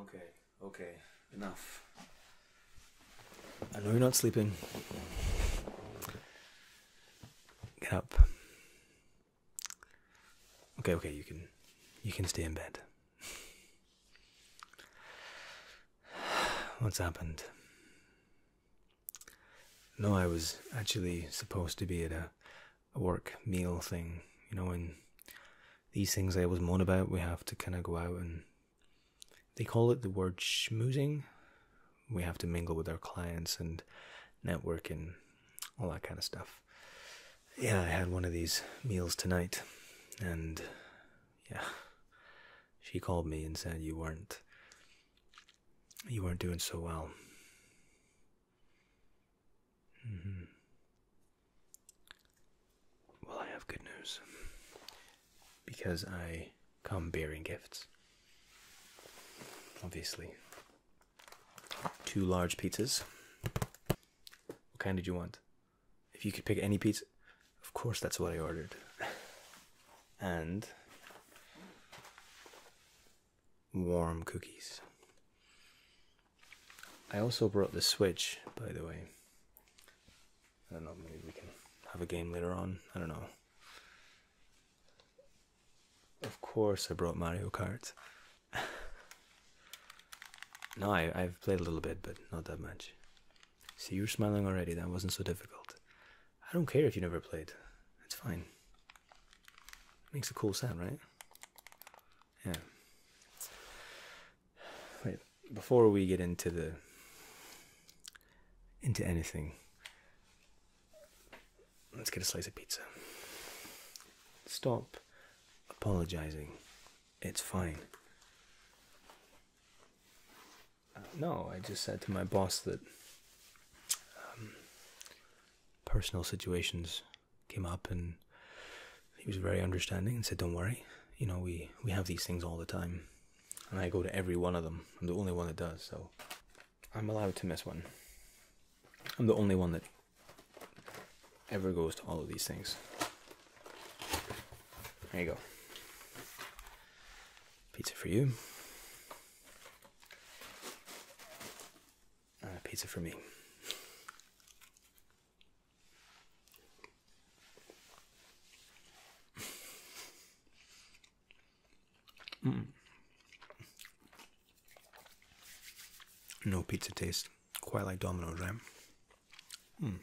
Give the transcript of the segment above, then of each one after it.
Okay, okay, enough. I know you're not sleeping. Get up. Okay, okay, you can you can stay in bed. What's happened? No, I was actually supposed to be at a a work meal thing, you know, and these things I was moan about, we have to kind of go out and they call it the word schmoozing. We have to mingle with our clients and network and all that kind of stuff. Yeah, I had one of these meals tonight, and yeah, she called me and said you weren't you weren't doing so well. Mm-hmm. Well, I have good news because I come bearing gifts. Obviously, two large pizzas. What kind did you want? If you could pick any pizza, of course, that's what I ordered. and warm cookies. I also brought the Switch, by the way. I don't know, maybe we can have a game later on. I don't know. Of course, I brought Mario Kart. no, I, I've played a little bit, but not that much. See, you're smiling already. That wasn't so difficult. I don't care if you never played. It's fine. Makes a cool sound, right? Yeah. Wait, before we get into the into anything, let's get a slice of pizza. Stop apologizing. It's fine. Uh, no, I just said to my boss that um, personal situations came up and he was very understanding and said, "Don't worry, you know we we have these things all the time, and I go to every one of them. I'm the only one that does, so I'm allowed to miss one. I'm the only one that ever goes to all of these things. There you go. Pizza for you." uh, pizza for me. Mm. No pizza taste, quite like Domino's, ram. Mm.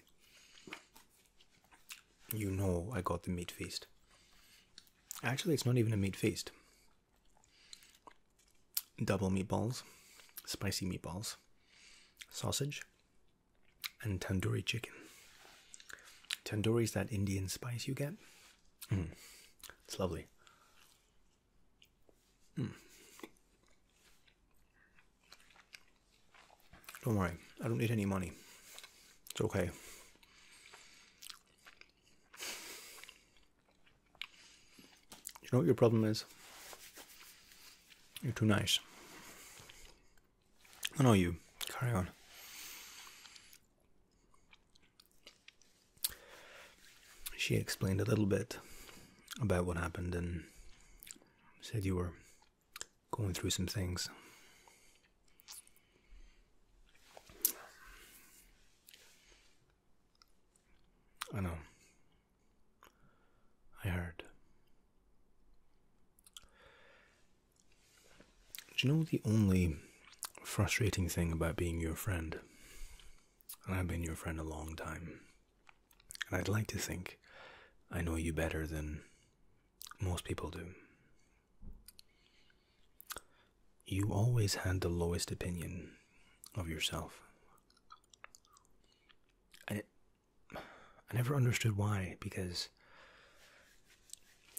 You know, I got the meat feast. Actually, it's not even a meat feast double meatballs, spicy meatballs, sausage, and tandoori chicken. Tandoori is that Indian spice you get. Hmm. It's lovely. Hmm. Don't worry, I don't need any money. It's okay. You know what your problem is? You're too nice. I know you. Carry on. She explained a little bit about what happened and said you were going through some things. I know. I heard. Do you know the only frustrating thing about being your friend? And I've been your friend a long time. And I'd like to think I know you better than most people do. You always had the lowest opinion of yourself. I never understood why, because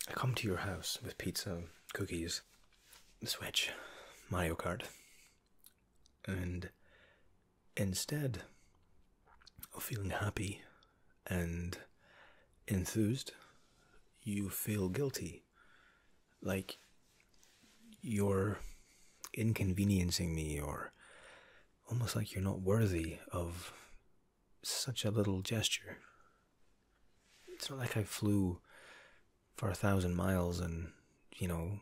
I come to your house with pizza, cookies, Switch, Mario Kart, and instead of feeling happy and enthused, you feel guilty like you're inconveniencing me or almost like you're not worthy of such a little gesture. It's not like I flew for a thousand miles and, you know,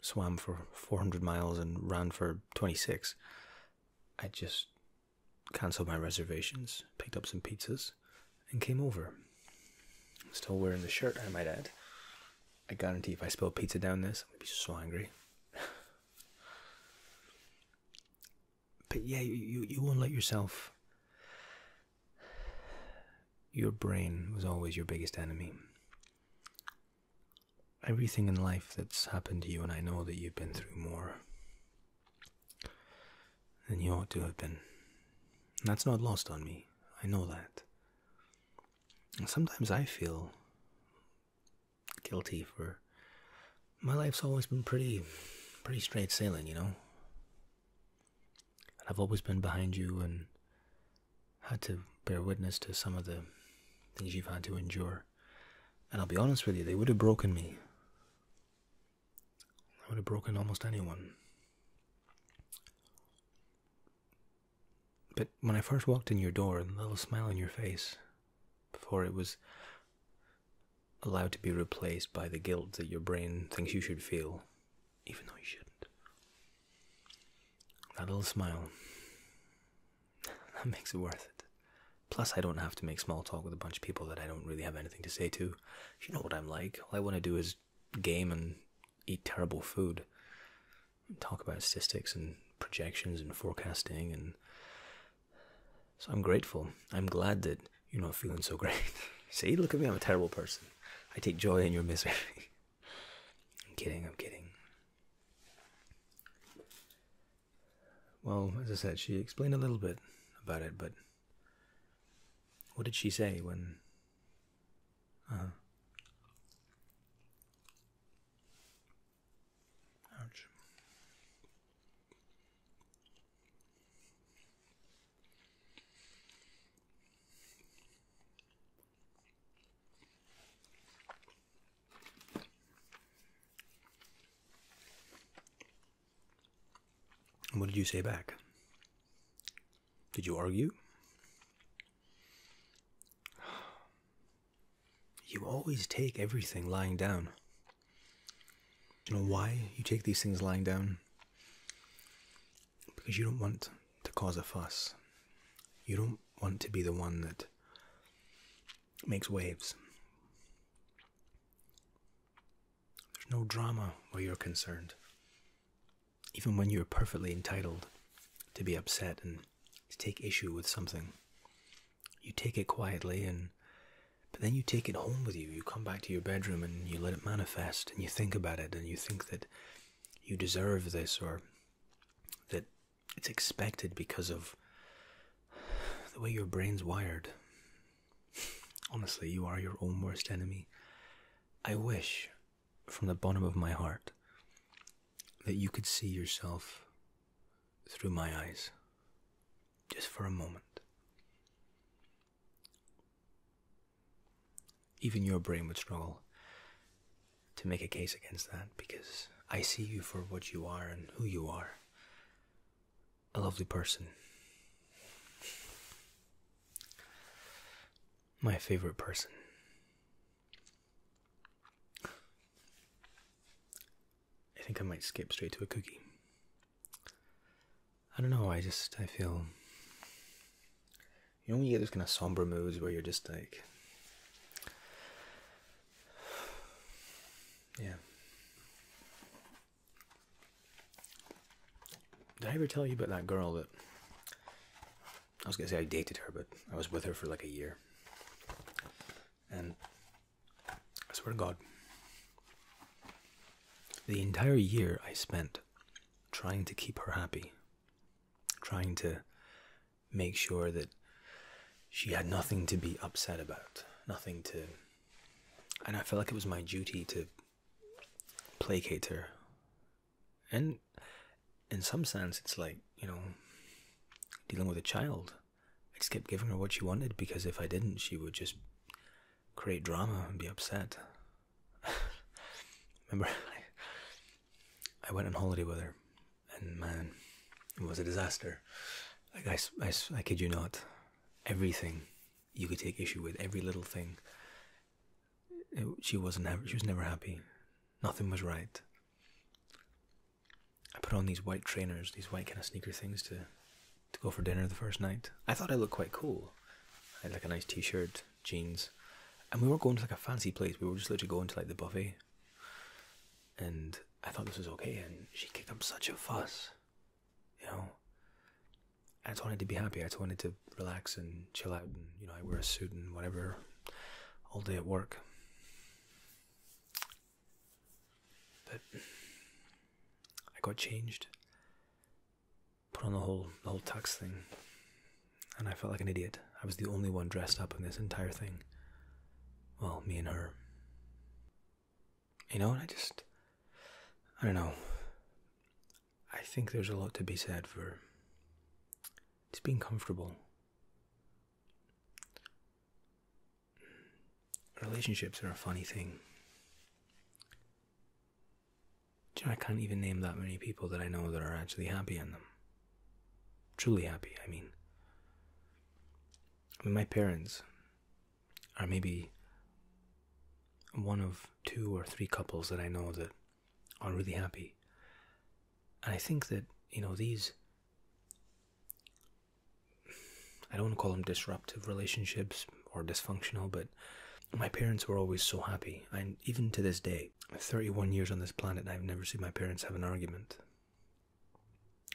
swam for 400 miles and ran for 26. I just cancelled my reservations, picked up some pizzas, and came over. still wearing the shirt, I might add. I guarantee if I spill pizza down this, I'm gonna be so angry. but yeah, you, you won't let yourself. Your brain was always your biggest enemy. Everything in life that's happened to you, and I know that you've been through more than you ought to have been. That's not lost on me. I know that. Sometimes I feel guilty for my life's always been pretty pretty straight sailing, you know. And I've always been behind you and had to bear witness to some of the things you've had to endure. And I'll be honest with you, they would have broken me. I would have broken almost anyone. But when I first walked in your door, the little smile on your face, before it was allowed to be replaced by the guilt that your brain thinks you should feel, even though you shouldn't. That little smile, that makes it worth it. Plus, I don't have to make small talk with a bunch of people that I don't really have anything to say to. You know what I'm like. All I want to do is game and eat terrible food. Talk about statistics and projections and forecasting, and so I'm grateful. I'm glad that you're not feeling so great. See, look at me. I'm a terrible person. I take joy in your misery. I'm kidding. I'm kidding. Well, as I said, she explained a little bit about it, but what did she say when? Uh-huh. Ouch. What did you say back? Did you argue? You always take everything lying down. You know why you take these things lying down? Because you don't want to cause a fuss. You don't want to be the one that makes waves. There's no drama where you're concerned. Even when you're perfectly entitled to be upset and to take issue with something, you take it quietly and but then you take it home with you. You come back to your bedroom and you let it manifest and you think about it and you think that you deserve this or that it's expected because of the way your brain's wired. Honestly, you are your own worst enemy. I wish, from the bottom of my heart, that you could see yourself through my eyes, just for a moment. Even your brain would struggle to make a case against that because I see you for what you are and who you are a lovely person. My favorite person. I think I might skip straight to a cookie. I don't know, I just, I feel. You know you get those kind of somber moods where you're just like. Yeah. Did I ever tell you about that girl that I was gonna say I dated her, but I was with her for like a year. And I swear to God, the entire year I spent trying to keep her happy, trying to make sure that she had nothing to be upset about, nothing to. And I felt like it was my duty to placate her. And in some sense, it's like, you know, dealing with a child. I just kept giving her what she wanted because if I didn't, she would just create drama and be upset. Remember, I went on holiday with her and man, it was a disaster. I, I, I kid you not, everything you could take issue with, every little thing. she wasn't. She was never happy. Nothing was right. I put on these white trainers, these white kind of sneaker things to to go for dinner the first night. I thought I looked quite cool. I had like a nice t-shirt, jeans, and we were going to like a fancy place. We were just literally going to like the buffet and I thought this was okay, and she kicked up such a fuss. You know, I just wanted to be happy. I just wanted to relax and chill out, and you know, I wear a suit and whatever all day at work. But I got changed, put on the whole the whole tax thing, and I felt like an idiot. I was the only one dressed up in this entire thing well, me and her. You know, I just, I don't know. I think there's a lot to be said for just being comfortable. Relationships are a funny thing. I can't even name that many people that I know that are actually happy in them. Truly happy, I mean. I mean, my parents are maybe one of two or three couples that I know that are really happy. And I think that, you know, these, I don't want to call them disruptive relationships or dysfunctional, but my parents were always so happy. And even to this day, 31 years on this planet, I've never seen my parents have an argument.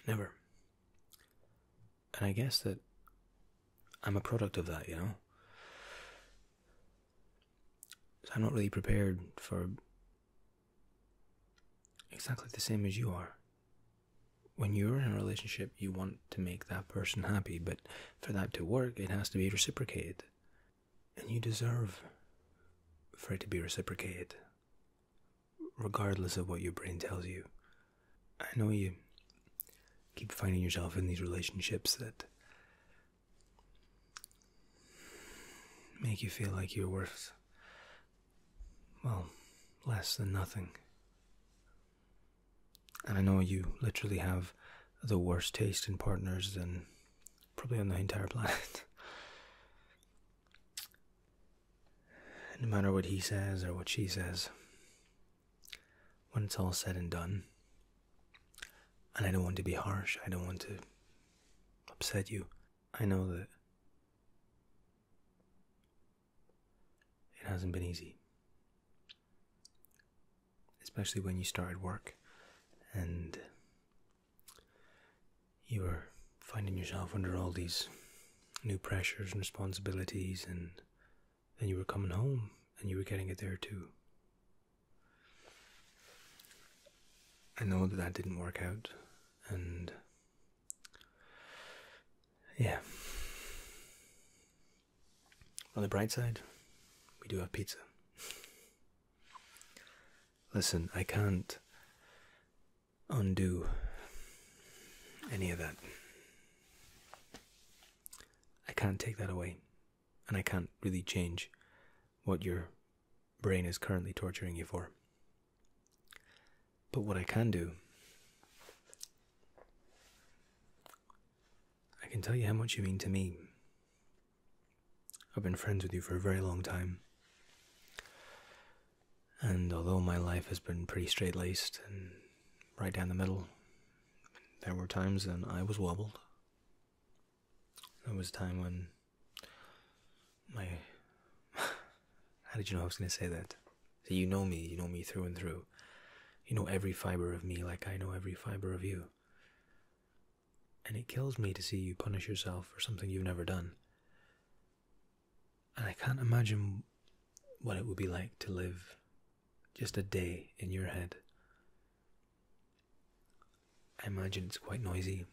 Never. And I guess that I'm a product of that, you know? So I'm not really prepared for exactly the same as you are. When you're in a relationship, you want to make that person happy, but for that to work, it has to be reciprocated. And you deserve for it to be reciprocated regardless of what your brain tells you. I know you keep finding yourself in these relationships that make you feel like you're worth, well, less than nothing. And I know you literally have the worst taste in partners than probably on the entire planet. no matter what he says or what she says, when it's all said and done, and I don't want to be harsh, I don't want to upset you, I know that it hasn't been easy. Especially when you started work and you were finding yourself under all these new pressures and responsibilities, and then you were coming home and you were getting it there too. I know that that didn't work out, and yeah. On the bright side, we do have pizza. Listen, I can't undo any of that. I can't take that away, and I can't really change what your brain is currently torturing you for. But what I can do, I can tell you how much you mean to me. I've been friends with you for a very long time. And although my life has been pretty straight laced and right down the middle, there were times when I was wobbled. There was a time when my. How did you know I was going to say that? So you know me, you know me through and through. You know every fiber of me like I know every fiber of you and it kills me to see you punish yourself for something you've never done. And I can't imagine what it would be like to live just a day in your head. I imagine it's quite noisy.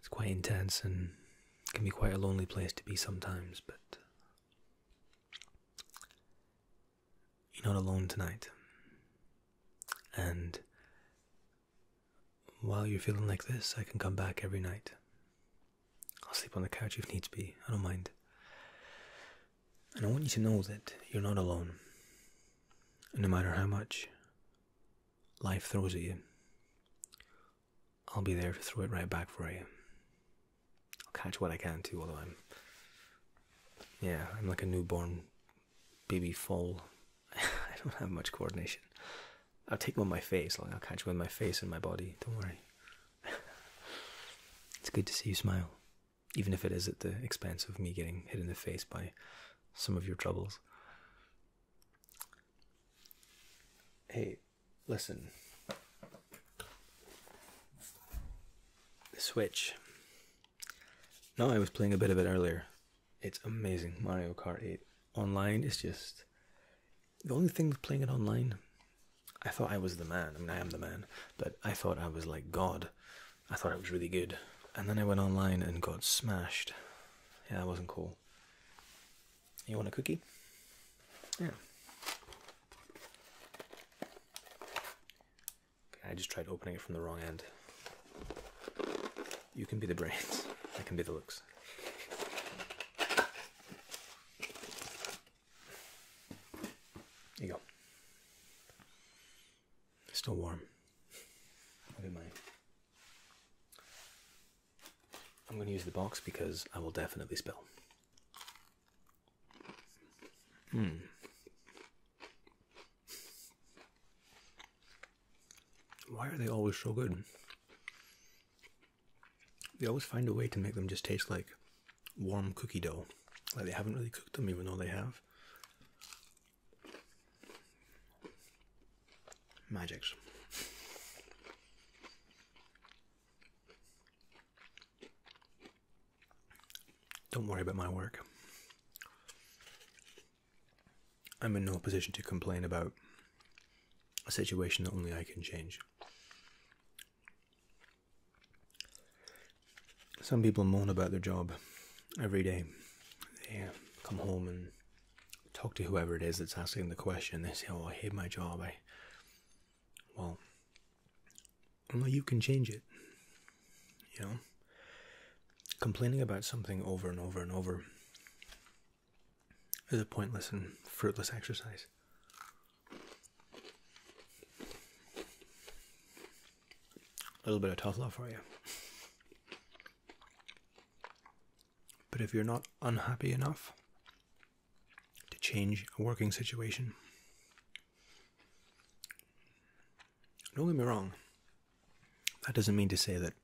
It's quite intense and can be quite a lonely place to be sometimes, but you're not alone tonight. And while you're feeling like this, I can come back every night. I'll sleep on the couch if needs be, I don't mind. And I want you to know that you're not alone. no matter how much life throws at you, I'll be there to throw it right back for you. I'll catch what I can too, although I'm. Yeah, I'm like a newborn baby fall. I don't have much coordination. I'll take one my face, like I'll catch one my face and my body. Don't worry. it's good to see you smile, even if it is at the expense of me getting hit in the face by some of your troubles. Hey, listen. Switch. No, I was playing a bit of it earlier. It's amazing. Mario Kart 8 online is just the only thing with playing it online. I thought I was the man. I mean, I am the man, but I thought I was like God. I thought it was really good. And then I went online and got smashed. Yeah, that wasn't cool. You want a cookie? Yeah. I just tried opening it from the wrong end. You can be the brains, I can be the looks. There you go. still warm. Look at mine. I'm going to use the box because I will definitely spill. Hmm. Why are they always so good? They always find a way to make them just taste like warm cookie dough. Like they haven't really cooked them, even though they have. Magics. Don't worry about my work. I'm in no position to complain about a situation that only I can change. Some people moan about their job every day. They uh, come home and talk to whoever it is that's asking the question. They say, "Oh, I hate my job." I well, only you can change it. You know, complaining about something over and over and over is a pointless and fruitless exercise. A little bit of tough love for you. But if you're not unhappy enough to change a working situation, don't get me wrong. That doesn't mean to say that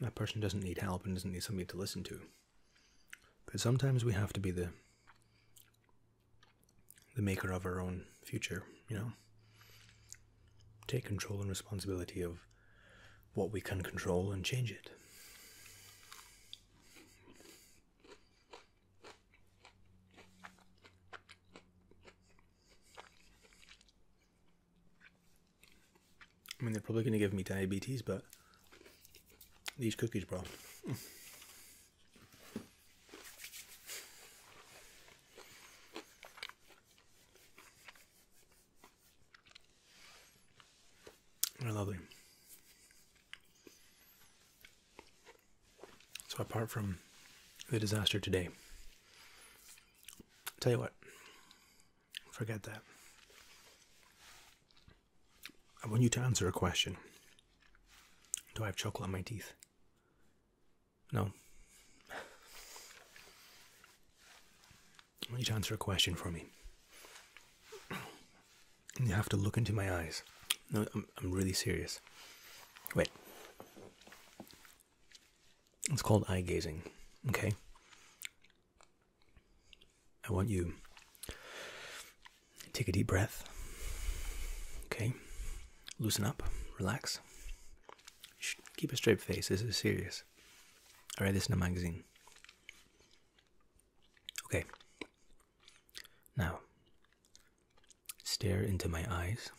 that person doesn't need help and doesn't need somebody to listen to. But sometimes we have to be the the maker of our own future, you know. Take control and responsibility of what we can control and change it. I mean, they're probably going to give me diabetes, but these cookies, bro. They're lovely. So apart from the disaster today, tell you what, forget that. I want you to answer a question. Do I have chocolate on my teeth? No. I want to answer a question for me you have to look into my eyes. I'm really serious. Wait. It's called eye gazing, okay? I want you take a deep breath. Okay? Loosen up, relax. Keep a straight face. This is serious. I read this in a magazine. Okay. Now, stare into my eyes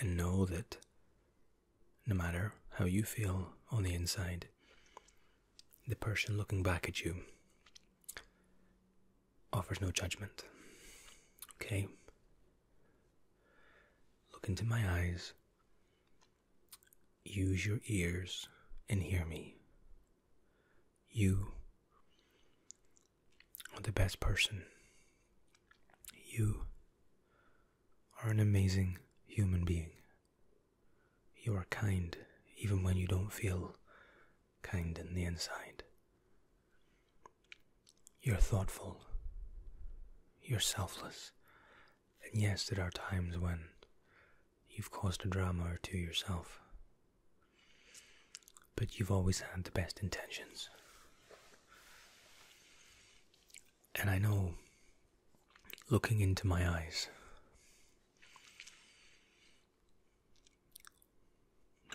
and know that no matter how you feel on the inside, the person looking back at you offers no judgment. Okay? Look into my eyes. Use your ears and hear me. You are the best person. You are an amazing human being. You are kind even when you don't feel kind in the inside. You're thoughtful. You're selfless. And yes, there are times when you've caused a drama or two yourself. But you've always had the best intentions. And I know, looking into my eyes,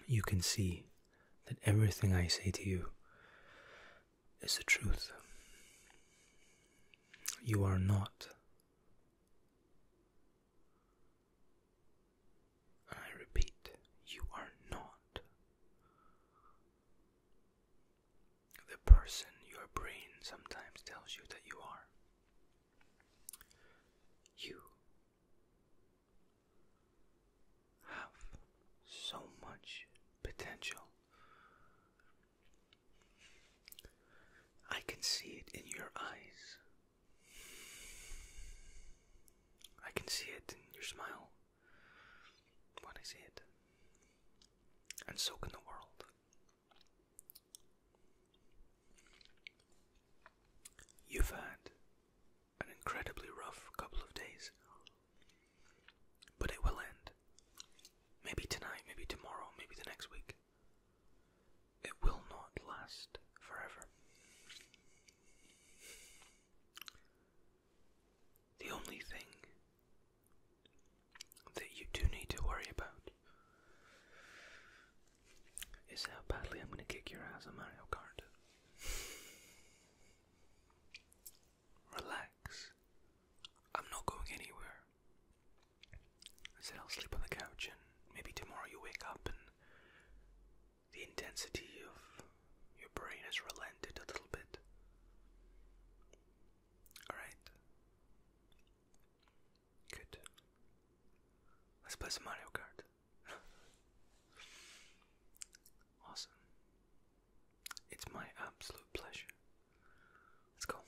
you can see that everything I say to you is the truth. You are not I repeat, you are not. The person your brain sometimes tells you that you are. You have so much potential I can see it in your eyes. I can see it in your smile when I see it. And so can the world. You've had an incredibly rough couple of days, but it will end. Maybe tonight, maybe tomorrow, maybe the next week. It will not last forever. The only thing that you do need to worry about is how badly I'm going to kick your ass on Mario Kart. Relax. I'm not going anywhere. I said I'll sleep on the couch and maybe tomorrow you wake up and the intensity of your brain has relented a little bit. Alright. Good. Let's play some Mario Kart. awesome. It's my absolute pleasure. Let's go.